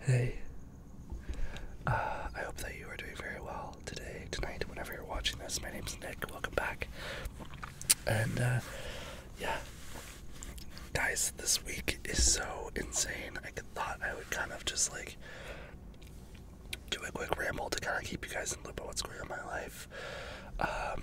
Hey. Uh, I hope that you are doing very well today, tonight, whenever you're watching this. My name is Nick. Welcome back. And, uh, yeah. Guys, this week is so insane. I thought I would kind of just, like, do a quick ramble to kind of keep you guys in loop on what's going on in my life. Um,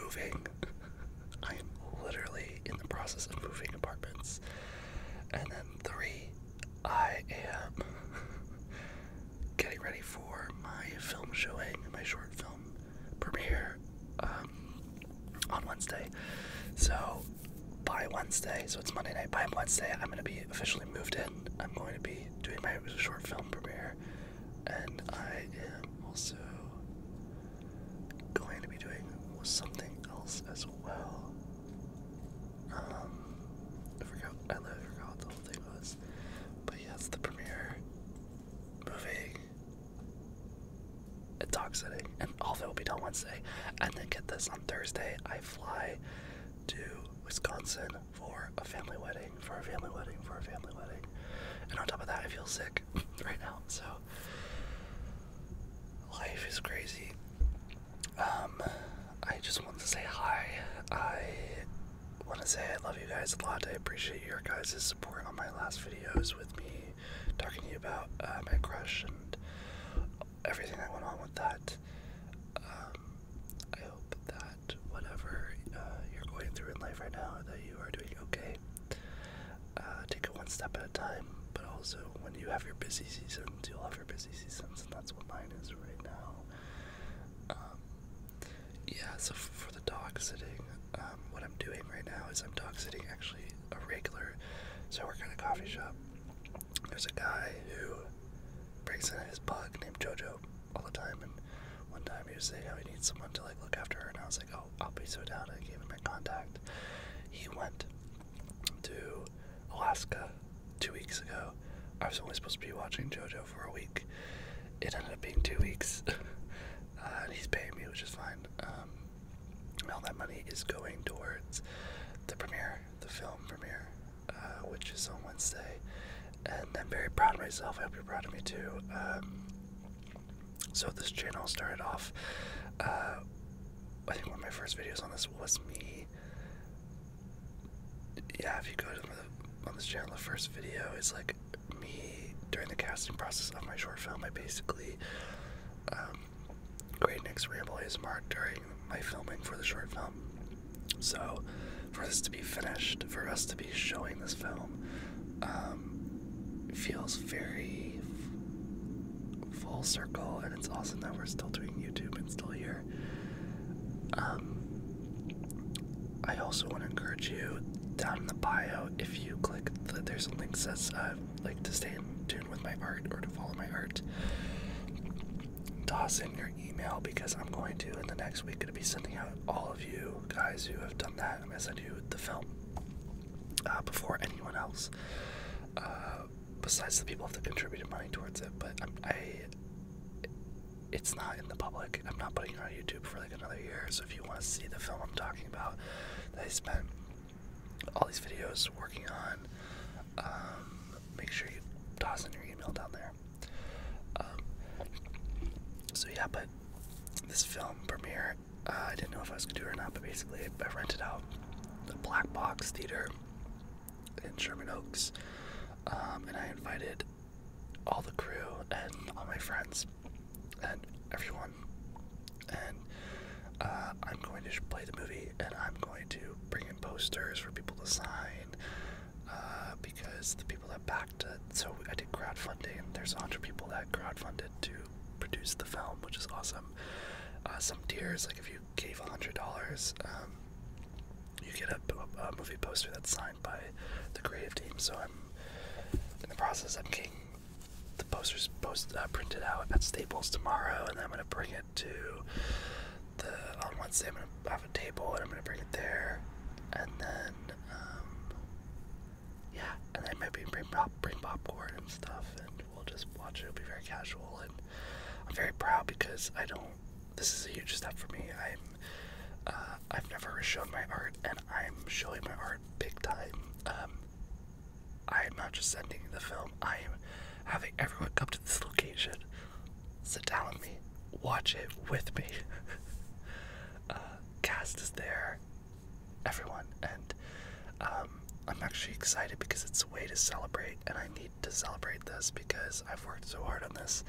moving. I am literally in the process of moving apartments. And then three, I am getting ready for my film showing, my short film premiere um, on Wednesday. So by Wednesday, so it's Monday night. By Wednesday, I'm going to be officially moved in. I'm going to be doing my it was a short film premiere and I am also going to be doing something else as well. Um, I forgot. I literally forgot the whole thing was, but yeah, the premiere movie at dog sitting, and all of it will be done Wednesday. And then get this on Thursday. I fly to Wisconsin for a family wedding, for a family wedding, for a family wedding. And on top of that, I feel sick right now. So life is crazy. Um, I just wanted to say hi. I want to say I love you guys a lot. I appreciate your guys' support on my last videos with me talking to you about uh, my crush and everything that went on with that. Um, I hope that whatever uh, you're going through in life right now, that you are doing okay. Uh, take it one step at a time, but also when you have your busy seasons, you'll have your busy seasons, and that's what mine is right now. Um, yeah, so for the dog sitting, um, what I'm doing right now is I'm dog sitting actually a regular. So we're kind of coffee shop. There's a guy who breaks out his pug named Jojo all the time. And one time he was saying how he needs someone to like look after her, and I was like, oh, I'll be so down. I gave him my contact. He went to Alaska two weeks ago. I was only supposed to be watching JoJo for a week. It ended up being two weeks. Uh, and he's paying me, which is fine. Um, all that money is going towards the premiere, the film premiere uh, which is on Wednesday, and I'm very proud of myself. I hope you're proud of me too. Um, so this channel started off. Uh, I think one of my first videos on this was me. Yeah, if you go to the, on this channel, the first video is like me during the casting process of my short film. I basically. Um, Great Nick's Ramble ASMR during my filming for the short film. So, for this to be finished, for us to be showing this film, um, feels very full circle, and it's awesome that we're still doing YouTube and still here. Um, I also want to encourage you down in the bio if you click there's a link that says uh, like to stay in tune with my art or to follow my art toss in your email because I'm going to in the next week going to be sending out all of you guys who have done that. I'm going to send you the film uh, before anyone else, uh, besides the people who have contributed money towards it. But i it's not in the public. I'm not putting it on YouTube for like another year. So if you want to see the film I'm talking about, that I spent all these videos working on, um, make sure you toss in your email down there. Um, so yeah, but this film premiere, uh, I didn't know if I was gonna do it or not, but basically I rented out the Black Box Theater in Sherman Oaks, um, and I invited all the crew and all my friends and everyone, and uh, I'm going to play the movie and I'm going to bring in posters for people to sign uh, because the people that backed it. So I did crowdfunding. There's a 100 people that crowdfunded to produce the film, which is awesome. Uh, some tiers, like if you gave $100, um, you get a, movie poster that's signed by the creative team. So I'm in the process. of getting the posters post uh, printed out at Staples tomorrow, and I'm gonna bring it to the on Wednesday I'm gonna have a table and I'm gonna bring it there, and then um, yeah, and then maybe bring pop, bring popcorn and stuff, and we'll just watch it. It'll be very casual, and I'm very proud because I don't. This is a huge step for me. I'm uh, I've never shown my art, and I'm showing my art big time. Um, I am not just sending the film. I am having everyone come to this location sit down with me, watch it with me. Uh, cast is there, everyone, and um, I'm actually excited because it's a way to celebrate, and I need to celebrate this because I've worked so hard on this.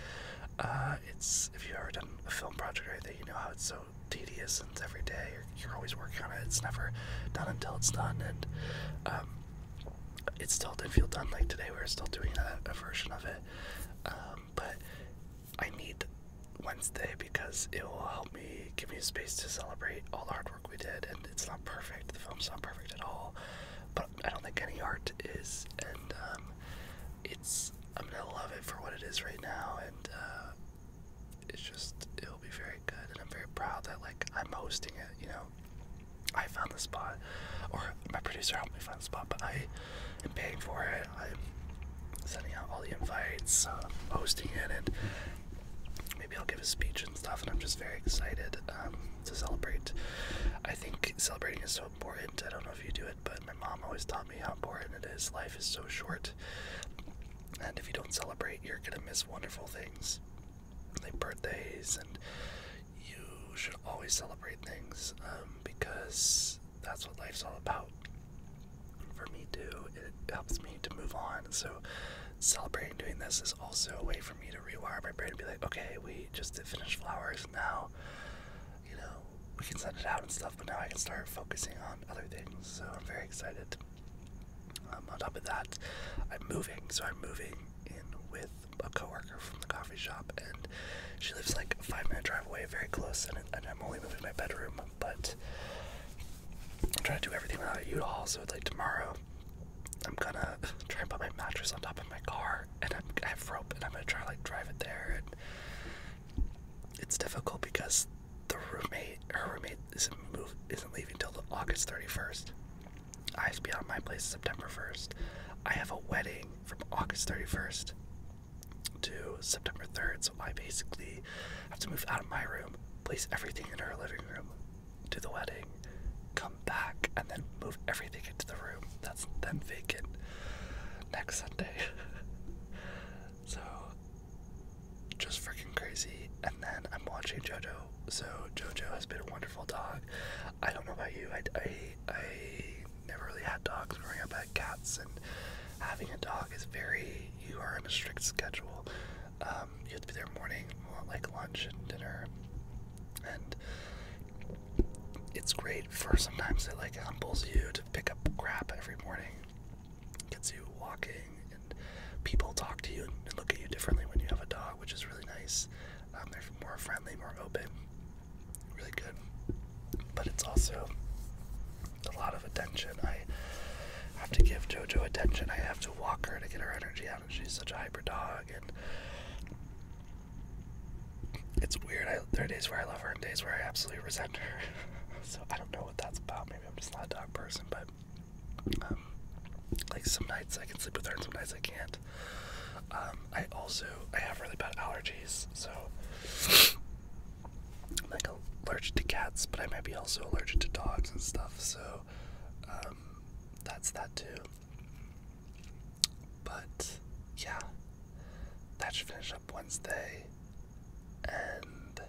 Uh, it's if you've ever done a film project or anything, you know how it's so tedious and every day always working on it. It's never done until it's done, and um, it still did not feel done. Like today, we are still doing a, version of it. Um, but I need Wednesday because it will help me give me space to celebrate all the hard work we did. And it's not perfect. The film's not perfect at all. But I don't think any art is. And um, it's I'm gonna love it for what it is right now. And uh, it's just it'll be very good. And I'm very proud that like I'm hosting it. You know. I found the spot, or my producer helped me find the spot, but I am paying for it. I'm sending out all the invites, uh, hosting it, and maybe I'll give a speech and stuff. And I'm just very excited um, to celebrate. I think celebrating is so important. I don't know if you do it, but my mom always taught me how important it is. Life is so short, and if you don't celebrate, you're gonna miss wonderful things like birthdays, and you should always celebrate things um, because that's what life's all about. For me too, it helps me to move on. So celebrating doing this is also a way for me to rewire my brain and be like, okay, we just did finish flowers. Now, you know, we can send it out and stuff, but now I can start focusing on other things. So I'm very excited. Um, on top of that, I'm moving, so I'm moving in with a coworker from the coffee shop, and she lives like a five minute drive away, very close, and, I'm only moving my bedroom. But I'm trying to do everything without a all. so like tomorrow, I'm gonna try and put my mattress on top of my car, and i have rope, and I'm gonna try like drive it there. And it's difficult because the roommate, her roommate, isn't move, isn't leaving until August 31st. I have to be out my place September 1st. I have a wedding from August 31st to September 3rd, so I basically have to move out of my room, place everything in her living room, do the wedding, come back, and then move everything into the room that's then vacant next Sunday. so just freaking crazy. And then I'm watching JoJo. So JoJo has been a wonderful dog. I don't know about you. I, I, I never really had dogs growing up. I had cats, and having a dog is very. You are on a strict schedule. Um, you have to be there morning, like lunch and dinner, and it's great for sometimes it like humbles you to pick up crap every morning you can see you walking, and people talk to you and look at you differently when you have a dog, which is really nice. Um, they're more friendly, more open, really good. But it's also a lot of attention. I have to give JoJo attention. I have to walk her to get her energy out, she's such a hyper dog. And it's weird. there are days where I love her and days where I absolutely resent her. so I don't know what that's about. Maybe I'm just not a dog person, but um, like some nights I can sleep with her, and some nights I can't. Um, I also I have really bad allergies, so I'm like allergic to cats, but I might be also allergic to dogs and stuff. So um, that's that too. But yeah, that should finish up Wednesday, and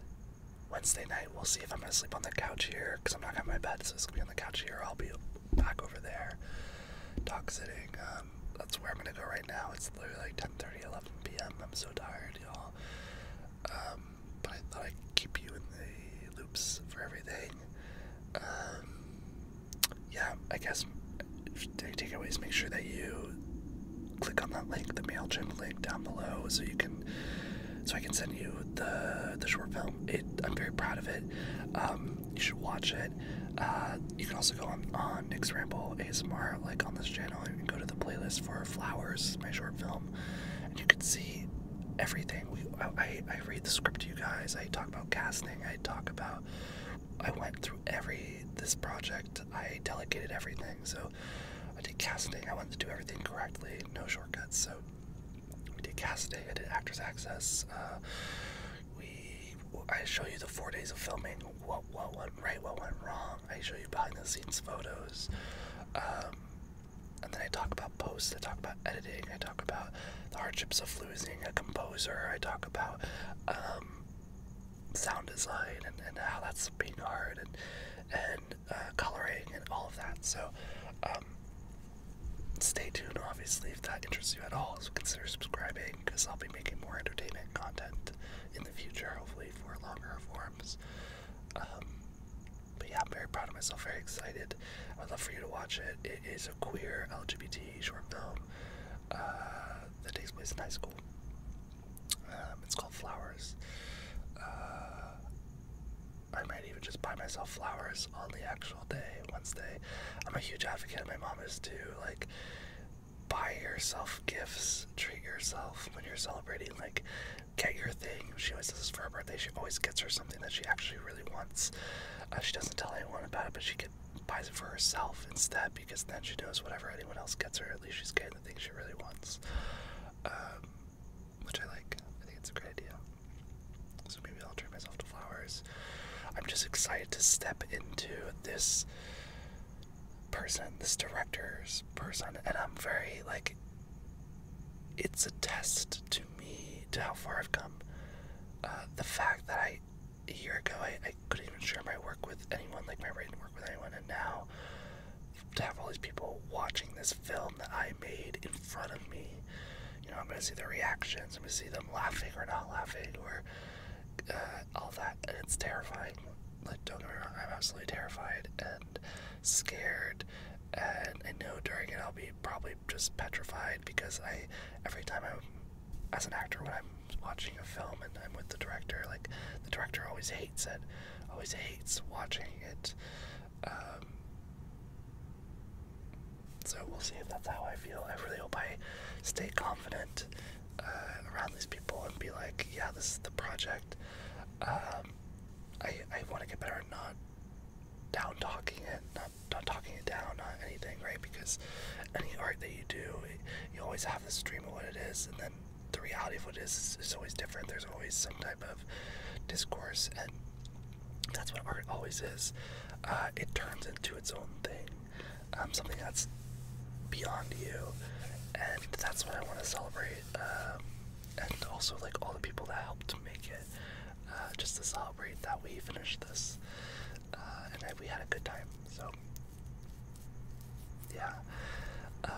Wednesday night, we'll see if I'm gonna sleep on the couch here, cause I'm not gonna have my bed, so it's gonna be on the couch here. I'll be back over there, dog sitting. Um, that's where I'm gonna go right now. It's literally like 10:30, 11 p.m. I'm so tired, y'all. Um, but I thought I'd keep you in the loops for everything. Um, yeah, I guess uh, takeaways. Make sure that you click on that link, the MailChimp link down below so you can so I can send you the the short film. It I'm very proud of it. Um, you should watch it. Uh, you can also go on, on Nick's Ramble ASMR, like on this channel, and go to the playlist for Flowers, my short film, and you can see everything. We, I, I read the script to you guys. I talk about casting. I talk about. I went through every this project. I delegated everything. So I did casting. I wanted to do everything correctly, no shortcuts. So we did casting. I did Actors Access. Uh, we I show you the four days of filming. What what went right? What went wrong? I show you behind the scenes photos. Um, and then I talk about post. I talk about editing, I talk about the hardships of losing a composer, I talk about um, sound design and, how that's being heard and and uh, coloring and all of that. So um, stay tuned. Obviously, if that interests you at all, so consider subscribing because I'll be making more entertainment content in the future, hopefully for longer forms. Um, but yeah, I'm very proud of myself. Very excited. I would love for you to watch it. It is a queer LGBT short film uh, that takes place in high school. Um, it's called Flowers. Uh, I might even just buy myself flowers on the actual day, Wednesday. I'm a huge advocate. My mom is too. Like, buy yourself gifts. Treat yourself when you're celebrating. Like, get your thing. She always does this for her birthday. She always gets her something that she actually really wants. Uh, she doesn't tell anyone about it, but she get, buys it for herself instead because then she knows whatever anyone else gets her, at least she's getting things she really wants, um, which I like. I think it's a great idea. So maybe I'll treat myself to flowers. I'm just excited to step into this person, this director's person, and I'm very like. It's a test to me to how far I've come. Uh, the fact that I a year ago I, I couldn't even share my work with anyone, like my writing work with anyone, and now to have all these people watching this film that I made in front of me, you know, I'm gonna see their reactions, I'm gonna see them laughing or not laughing or uh, all that, and it's terrifying. Like, don't get me wrong, I'm absolutely terrified and scared, and I know during it I'll be probably just petrified because I, every time I'm, as an actor, when I'm watching a film and I'm with the director, like the director always hates it, always hates watching it. Um, so we'll see if that's how I feel. I really hope I stay confident uh, around these people and be like, yeah, this is the project. Um, I I want to get better at not down talking it, not not talking it down, not anything, right? Because any art that you do you always have this dream of what it is, and then the reality of what it is is, always different. There's always some type of discourse, and that's what art always is. Uh, it turns into its own thing, um, something that's beyond you, and that's what I want to celebrate. Um, and also, like all the people that helped make it, uh, just to celebrate that we finished this. Uh, and I, we had a good time. So, yeah. Uh,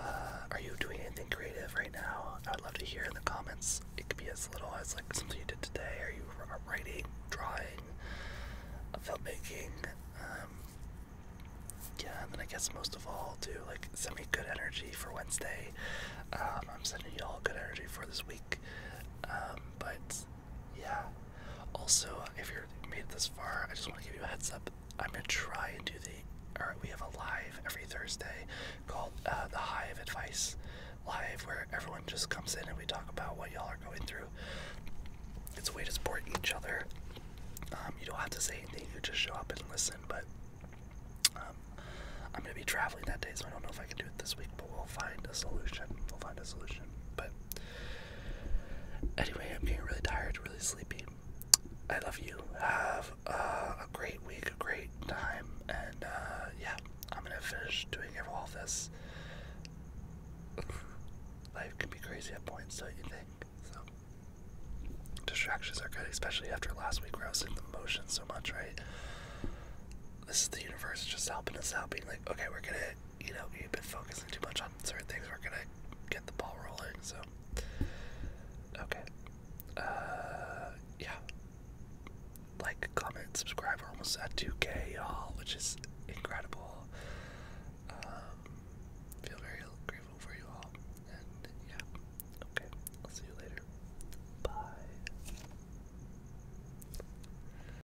are you doing anything creative right now? I would love to hear in the comments. It could be as little as like something you did today. Are you uh, writing, drawing, filmmaking? Um, yeah, and then I guess most of all, too, like send me good energy for Wednesday. Um, I'm sending you all good energy for this week. Um, but yeah. Also, if you're made this far, I just want to give you a heads up. I'm gonna try and do the. Alright, we have a live every Thursday called uh, the Hive Advice Live, where everyone just comes in and we talk about what y'all are going through. It's a way to support each other. Um, you don't have to say anything; you just show up and listen. But um, I'm gonna be traveling that day, so I don't know if I can do it this week. But we'll find a solution. We'll find a solution. But Anyway, I'm getting really tired, really sleepy. I love you. Have uh, a great week, a great time, and uh, yeah, I'm gonna finish doing all of this. Life can be crazy at points, don't you think? So distractions are good, especially after last week where I was in the motion so much, right? This is the universe just helping us out, being like, okay, we're gonna you know, you've been focusing too much on certain things we're gonna get the ball rolling, so okay. Uh, yeah. Like, comment, subscribe, we're almost at 2k, y'all, which is incredible. Um, feel very grateful for you all. And yeah. Okay. I'll see you later. Bye.